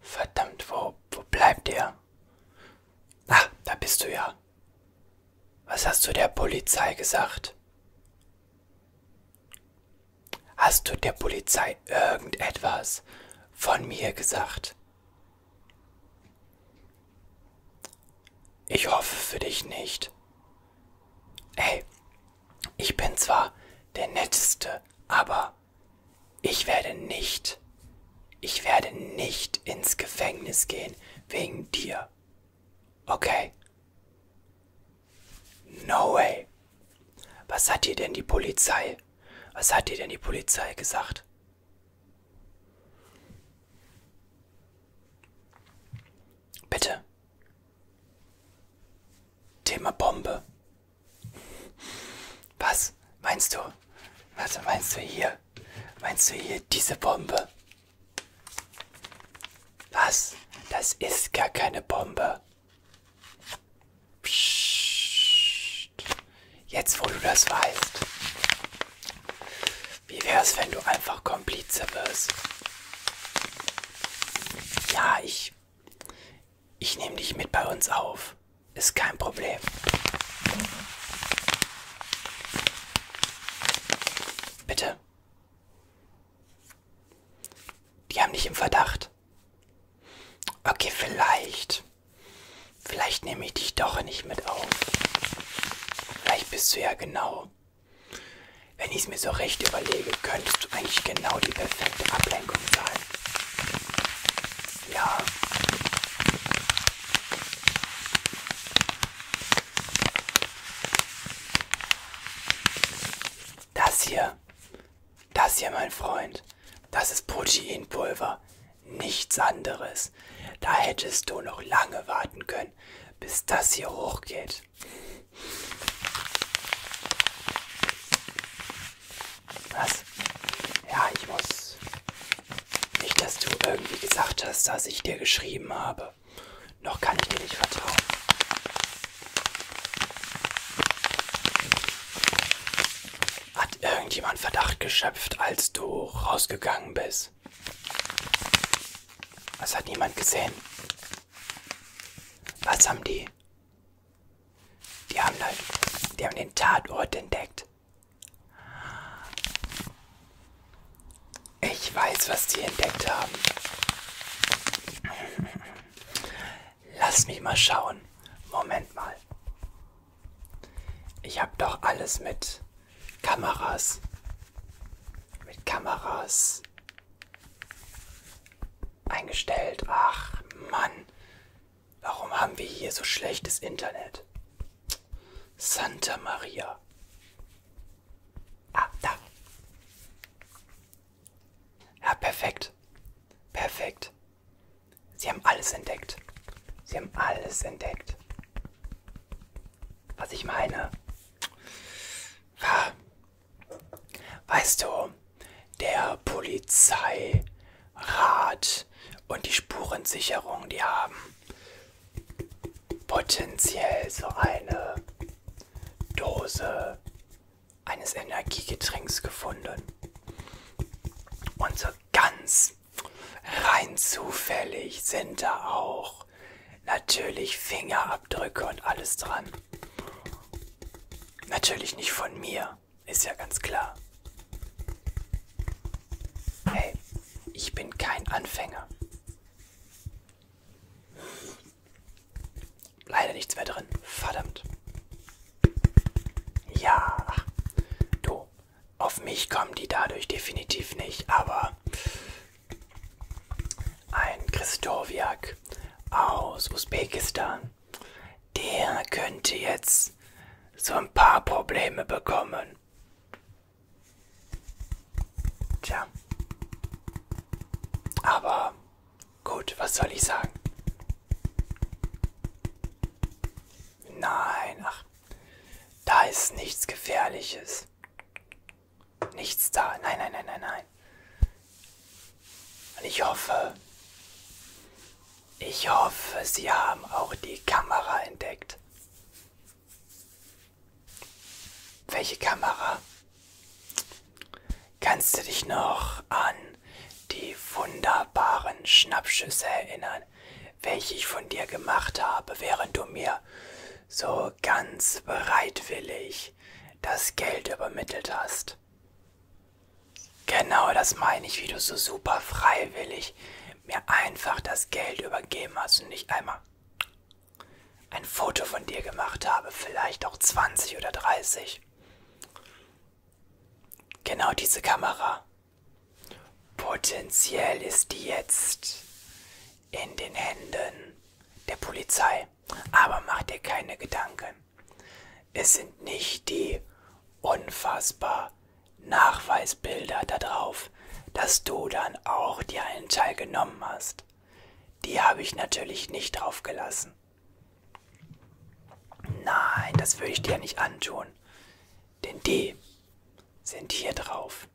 Verdammt, wo, wo bleibt ihr? Ach, da bist du ja. Was hast du der Polizei gesagt? Hast du der Polizei irgendetwas von mir gesagt? Ich hoffe für dich nicht. Hey, ich bin zwar der netteste, aber ich werde nicht, ich werde nicht ins Gefängnis gehen wegen dir. Okay? No way. Was hat dir denn die Polizei? Was hat dir denn die Polizei gesagt? Bitte. Thema Bombe. Was meinst du? Was meinst du hier? Meinst du hier diese Bombe? Was? Das ist gar keine Bombe. Psst. Jetzt, wo du das weißt. Wie wär's, wenn du einfach Komplize wirst? Ja, ich ich nehme dich mit bei uns auf. Ist kein Problem. Bitte. Die haben dich im Verdacht. Okay, vielleicht. Vielleicht nehme ich dich doch nicht mit auf. Vielleicht bist du ja genau. Wenn ich es mir so recht überlege, könntest du eigentlich genau die perfekte Ablenkung sein. Ja. Das hier, das hier, mein Freund, das ist Proteinpulver, nichts anderes. Da hättest du noch lange warten können, bis das hier hochgeht. Was? Ja, ich muss. Nicht, dass du irgendwie gesagt hast, dass ich dir geschrieben habe. Noch kann ich dir nicht vertrauen. Hat irgendjemand Verdacht geschöpft, als du rausgegangen bist? Was hat niemand gesehen? Was haben die? Die haben, den, die haben den Tatort entdeckt. Ich weiß, was die entdeckt haben. Lass mich mal schauen. Moment mal. Ich habe doch alles mit Kameras. Mit Kameras Eingestellt. Ach, Mann. Warum haben wir hier so schlechtes Internet? Santa Maria. Ah, da. Ja, perfekt. Perfekt. Sie haben alles entdeckt. Sie haben alles entdeckt. Was ich meine. Weißt du, der Polizeirat und die Spurensicherung, die haben potenziell so eine Dose eines Energiegetränks gefunden. Und so ganz rein zufällig sind da auch natürlich Fingerabdrücke und alles dran. Natürlich nicht von mir, ist ja ganz klar. Hey, ich bin kein Anfänger. Leider nichts mehr drin. Verdammt. Ja. Du, auf mich kommen die dadurch definitiv nicht, aber ein Christowiak aus Usbekistan. Der könnte jetzt so ein paar Probleme bekommen. Tja. Aber gut, was soll ich sagen? Nein, ach, da ist nichts Gefährliches. Nichts da. Nein, nein, nein, nein, nein. Und ich hoffe, ich hoffe, Sie haben auch die Kamera entdeckt. Welche Kamera? Kannst du dich noch an die wunderbaren Schnappschüsse erinnern, welche ich von dir gemacht habe, während du mir so ganz bereitwillig das Geld übermittelt hast. Genau das meine ich, wie du so super freiwillig mir einfach das Geld übergeben hast und ich einmal ein Foto von dir gemacht habe, vielleicht auch 20 oder 30. Genau diese Kamera. Potenziell ist die jetzt in den Händen der Polizei dabei. Aber mach dir keine Gedanken. Es sind nicht die unfassbar Nachweisbilder darauf, dass du dann auch dir einen Teil genommen hast. Die habe ich natürlich nicht drauf gelassen. Nein, das würde ich dir nicht antun. Denn die sind hier drauf.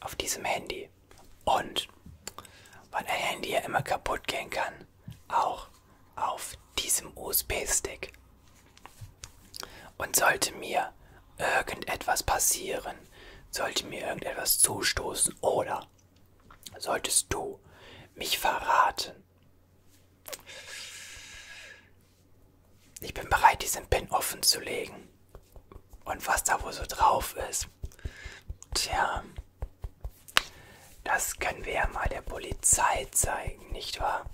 Auf diesem Handy und weil ein Handy ja immer kaputt gehen kann, auch auf diesem USB-Stick. Und sollte mir irgendetwas passieren, sollte mir irgendetwas zustoßen oder solltest du mich verraten, ich bin bereit, diesen Pin offen zu legen. Und was da wohl so drauf ist. Tja, das können wir ja mal der Polizei zeigen, nicht wahr?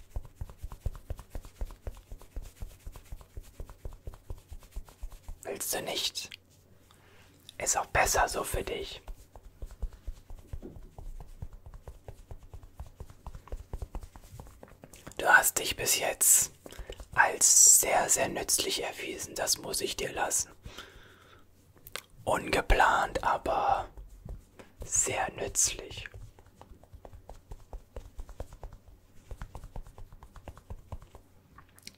Willst du nicht? Ist auch besser so für dich. Du hast dich bis jetzt als sehr, sehr nützlich erwiesen. Das muss ich dir lassen. Ungeplant, aber sehr nützlich.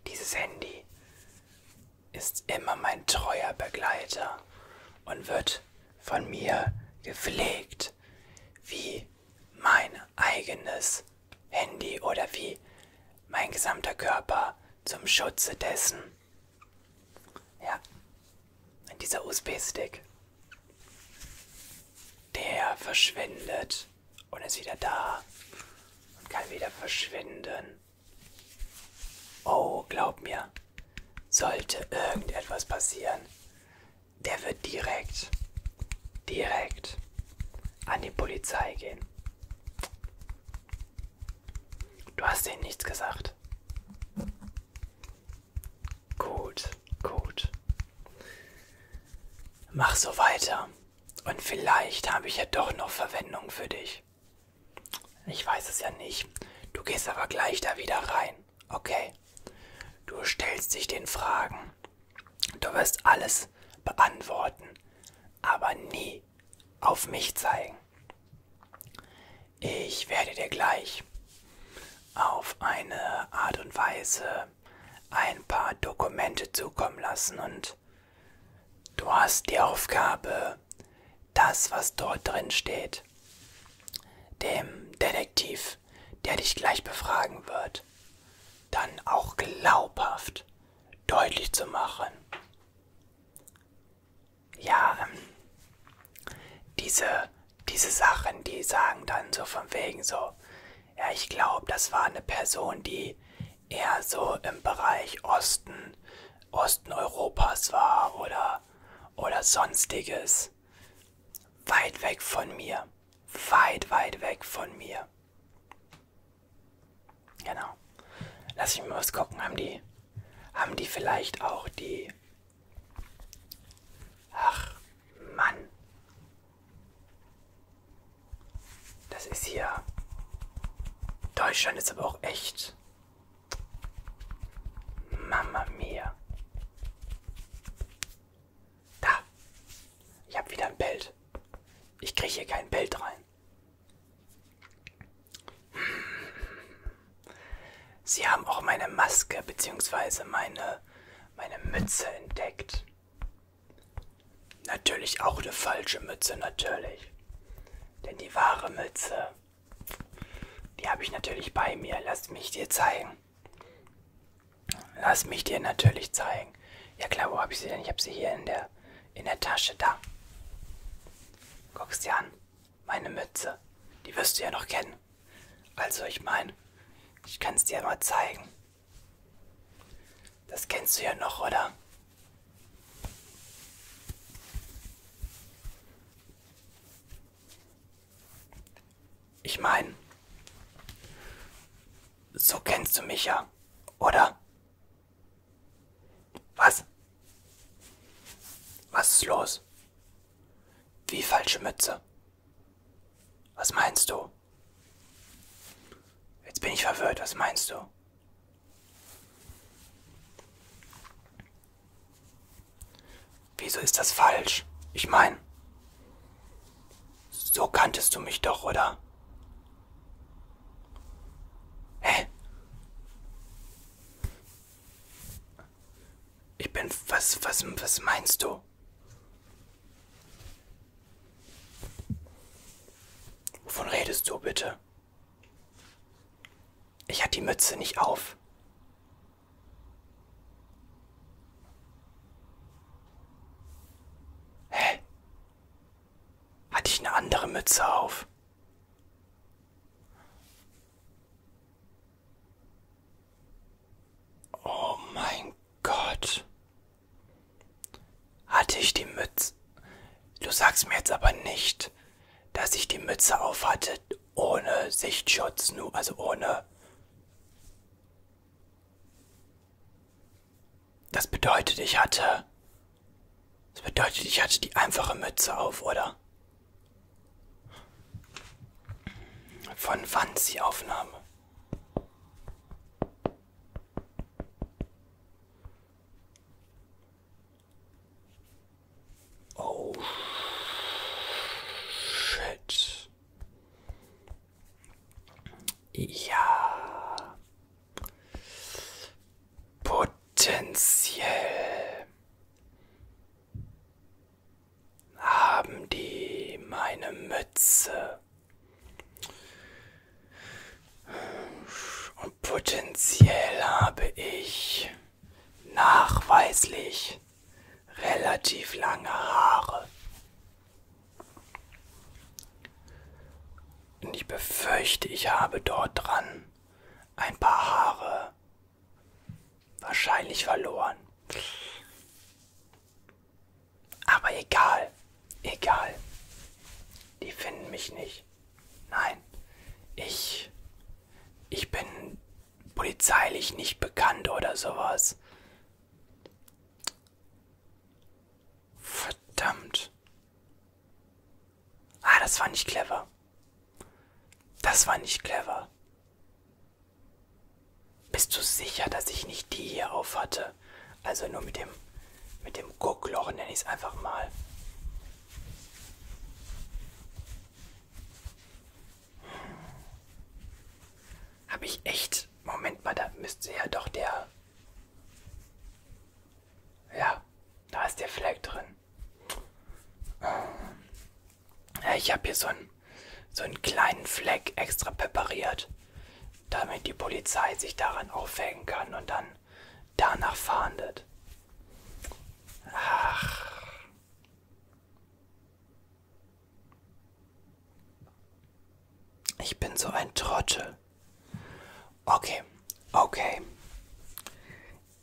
Dieses Handy ist immer mein treuer Begleiter und wird von mir gepflegt wie mein eigenes Handy oder wie mein gesamter Körper zum Schutze dessen. Ja, dieser USB-Stick. Der verschwindet und ist wieder da und kann wieder verschwinden. Oh, glaub mir, sollte irgendetwas passieren, der wird direkt, direkt an die Polizei gehen. Du hast denen nichts gesagt. Gut, gut. Mach so weiter. Und vielleicht habe ich ja doch noch Verwendung für dich. Ich weiß es ja nicht. Du gehst aber gleich da wieder rein. Okay. Du stellst dich den Fragen. Du wirst alles beantworten, aber nie auf mich zeigen. Ich werde dir gleich auf eine Art und Weise ein paar Dokumente zukommen lassen und du hast die Aufgabe, das, was dort drin steht, dem Detektiv, der dich gleich befragen wird, dann auch glaubhaft deutlich zu machen. Ja, ähm, diese, diese Sachen, die sagen dann so von wegen so, ja, ich glaube, das war eine Person, die eher so im Bereich Osten, Osten Europas war oder, oder sonstiges. Weit weg von mir. Weit, weit weg von mir. Genau. Lass mich mal was gucken. Haben die, haben die vielleicht auch die... Ach, Mann. Das ist hier... Deutschland ist aber auch echt... Mama mia. Da. Ich habe wieder ein Bild. Ich kriege hier kein Bild rein. Sie haben auch meine Maske bzw. meine, meine Mütze entdeckt. Natürlich auch eine falsche Mütze, natürlich. Denn die wahre Mütze, die habe ich natürlich bei mir. Lasst mich dir zeigen. Lass mich dir natürlich zeigen. Ja klar, wo habe ich sie denn? Ich habe sie hier in der, in der Tasche, da. Guckst dir an, meine Mütze. Die wirst du ja noch kennen. Also ich meine, ich kann es dir mal zeigen. Das kennst du ja noch, oder? Ich meine, so kennst du mich ja. Oder? Was? Was ist los? Wie falsche Mütze? Was meinst du? Jetzt bin ich verwirrt, was meinst du? Wieso ist das falsch? Ich meine, so kanntest du mich doch, oder? Hä? Ich bin. Was, was, was meinst du? Wovon redest du bitte? Ich hatte die Mütze nicht auf. Hä? Hatte ich eine andere Mütze auf? Oh mein Gott. Hatte ich die Mütze? Du sagst mir jetzt aber nicht, dass ich die Mütze auf hatte ohne Sichtschutz, nur also ohne das bedeutet, ich hatte. Das bedeutet, ich hatte die einfache Mütze auf, oder? Von wann ist die Aufnahme? Oh shit. Ja. Potenziell haben die meine Mütze. Und potenziell habe ich nachweislich relativ lange Haare. Und ich befürchte, ich habe dort dran ein paar Haare wahrscheinlich verloren. Aber egal, egal. Die finden mich nicht. Nein, ich, ich bin polizeilich nicht bekannt oder sowas. Verdammt. Ah, das war nicht clever. Das war nicht clever. Bist du sicher, dass ich nicht die hier auf hatte? Also nur mit dem, mit dem Guckloch nenne ich es einfach mal. Hm. Habe ich echt und Moment mal, da müsste ja doch der... Ja, da ist der Fleck drin. Ja, ich habe hier so einen, so einen kleinen Fleck extra präpariert, damit die Polizei sich daran aufhängen kann und dann danach fahndet. Ach. Ich bin so ein Trottel. Okay, okay.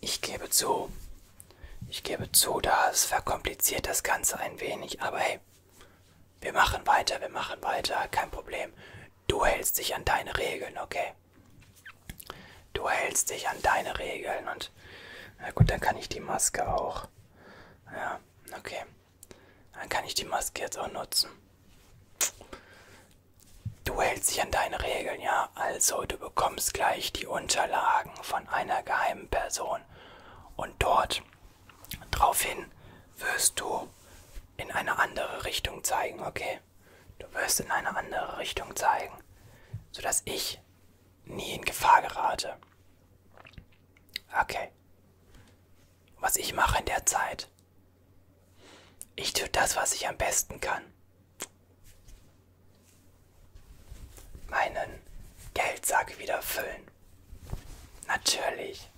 Ich gebe zu. Ich gebe zu, das verkompliziert das Ganze ein wenig, aber hey, wir machen weiter, wir machen weiter, kein Problem. Du hältst dich an deine Regeln, okay? Du hältst dich an deine Regeln und na gut, dann kann ich die Maske auch. Ja. Ja, okay. Dann kann ich die Maske jetzt auch nutzen. Du hältst dich an deine Regeln, ja? Also, du bekommst gleich die Unterlagen von einer geheimen Person. Und dort draufhin wirst du in eine andere Richtung zeigen, okay? Du wirst in eine andere Richtung zeigen, sodass ich nie in Gefahr gerate. Okay, was ich mache in der Zeit. Ich tue das, was ich am besten kann. Meinen Geldsack wieder füllen. Natürlich.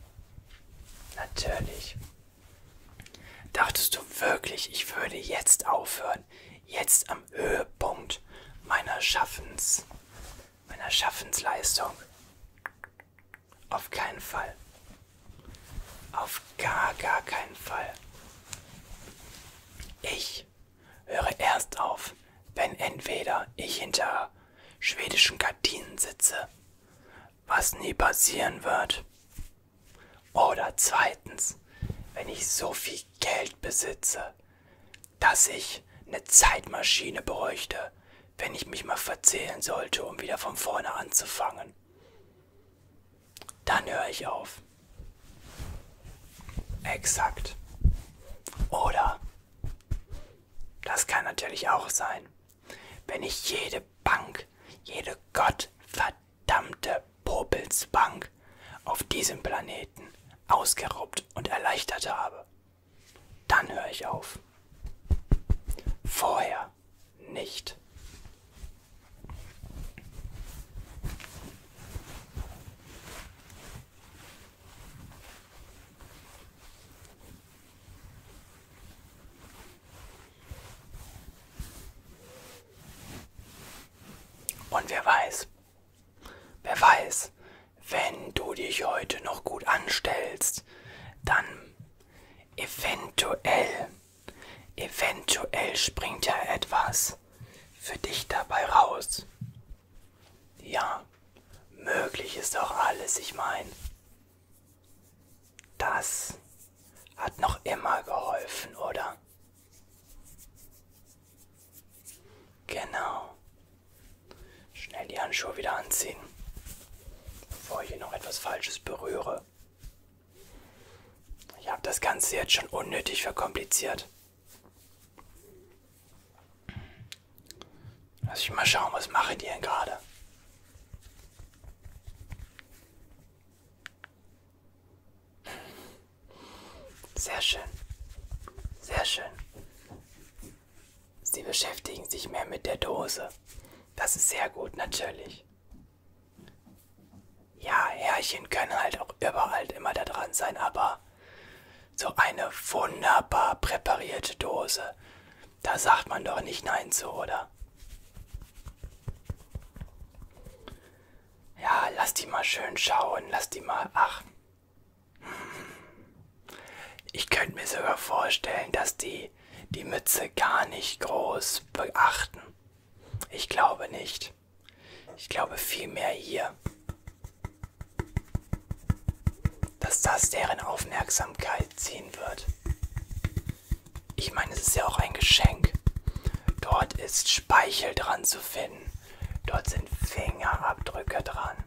Natürlich. Dachtest du wirklich, ich würde jetzt aufhören? Jetzt am Höhepunkt meiner Schaffens, meiner Schaffensleistung. Auf keinen Fall. Auf gar, gar keinen Fall. Ich höre erst auf, wenn entweder ich hinter schwedischen Gardinen sitze, was nie passieren wird, oder zweitens, wenn ich so viel Geld besitze, dass ich eine Zeitmaschine bräuchte, wenn ich mich mal verzählen sollte, um wieder von vorne anzufangen. Dann höre ich auf. Exakt. Oder, das kann natürlich auch sein, wenn ich jede Bank, jede gottverdammte Popelsbank auf diesem Planeten ausgeraubt und erleichtert habe. Dann höre ich auf. Vorher nicht. Und wer weiß, Wer weiß, wenn du dich heute noch gut anstellst, dann eventuell, eventuell springt ja etwas für dich dabei raus. Ja, möglich ist doch alles, ich meine. Das hat noch immer geholfen, oder? Genau. Schnell die Handschuhe wieder anziehen, bevor ich hier noch etwas Falsches berühre. Ich habe das Ganze jetzt schon unnötig verkompliziert. Lass ich mal schauen, was mache ich denn gerade? Sehr schön. Sehr schön. Sie beschäftigen sich mehr mit der Dose. Das ist sehr gut, natürlich. Ja, Härchen können halt auch überall immer da dran sein, aber so eine wunderbar präparierte Dose, da sagt man doch nicht Nein zu, oder? Ja, lass die mal schön schauen, lass die mal, ach, ich könnte mir sogar vorstellen, dass die die Mütze gar nicht groß beachten. Ich glaube nicht. Ich glaube vielmehr hier, dass das deren Aufmerksamkeit ziehen wird. Ich meine, es ist ja auch ein Geschenk. Dort ist Speichel dran zu finden. Dort sind Fingerabdrücke dran.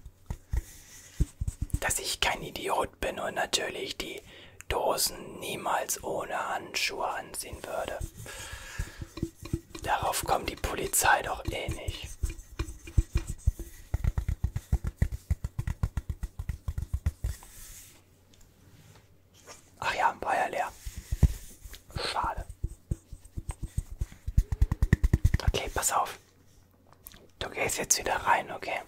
Dass ich kein Idiot bin und natürlich die Dosen niemals ohne Handschuhe anziehen würde. Darauf kommt die Polizei doch eh nicht. Ach ja, war ja leer. Schade. Okay, pass auf. Du gehst jetzt wieder rein, okay?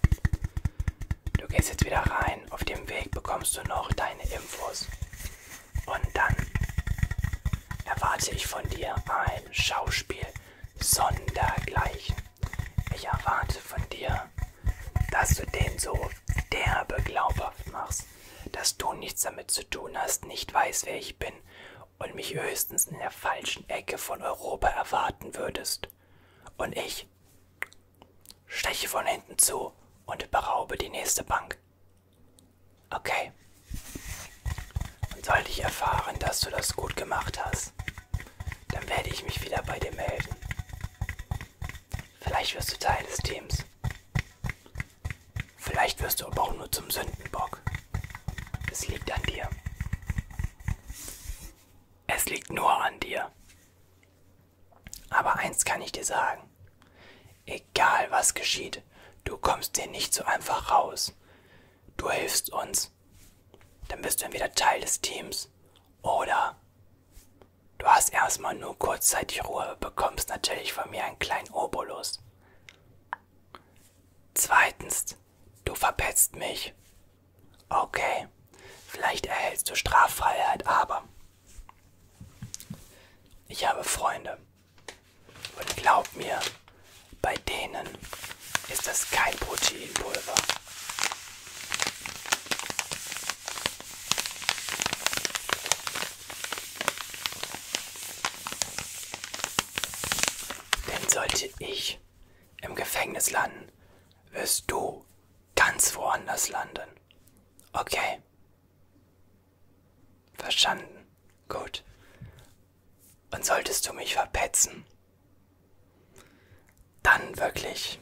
Du gehst jetzt wieder rein. Auf dem Weg bekommst du noch deine Infos. Und dann erwarte ich von dir ein Schauspiel sondergleichen. Ich erwarte von dir, dass du den so derbe glaubhaft machst, dass du nichts damit zu tun hast, nicht weißt, wer ich bin und mich höchstens in der falschen Ecke von Europa erwarten würdest. Und ich steche von hinten zu und beraube die nächste Bank. Okay. Und sollte ich erfahren, dass du das gut gemacht hast, dann werde ich mich wieder bei dir melden. Vielleicht wirst du Teil des Teams. Vielleicht wirst du aber auch nur zum Sündenbock. Es liegt an dir. Es liegt nur an dir. Aber eins kann ich dir sagen. Egal was geschieht, du kommst dir nicht so einfach raus. Du hilfst uns. Dann bist du entweder Teil des Teams oder du hast erstmal nur kurzzeitig Ruhe, bekommst natürlich von mir einen kleinen Obolus. Zweitens, du verpetzt mich. Okay, vielleicht erhältst du Straffreiheit, aber ich habe Freunde. Und glaub mir, bei denen ist das kein Proteinpulver. Denn sollte ich im Gefängnis landen, wirst du ganz woanders landen. Okay. Verstanden. Gut. Und solltest du mich verpetzen, dann wirklich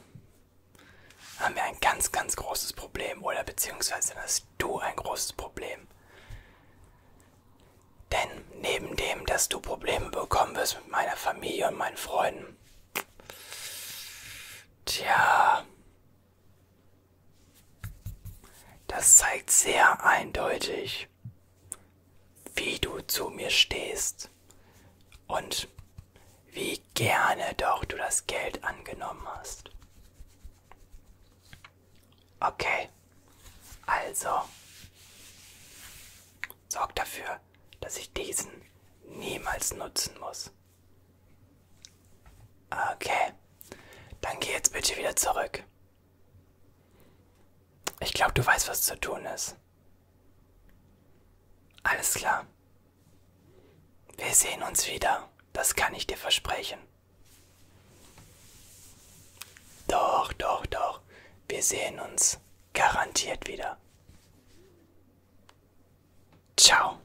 haben wir ein ganz, ganz großes Problem oder beziehungsweise das hast du ein großes Problem. Denn neben dem, dass du Probleme bekommen wirst mit meiner Familie und meinen Freunden, tja, das zeigt sehr eindeutig, wie du zu mir stehst und wie gerne doch du das Geld angenommen hast. Okay, also sorgt dafür, dass ich diesen niemals nutzen muss. Okay, dann geh jetzt bitte wieder zurück. Ich glaube, du weißt, was zu tun ist. Alles klar. Wir sehen uns wieder, das kann ich dir versprechen. Doch, doch, doch. Wir sehen uns garantiert wieder. Ciao.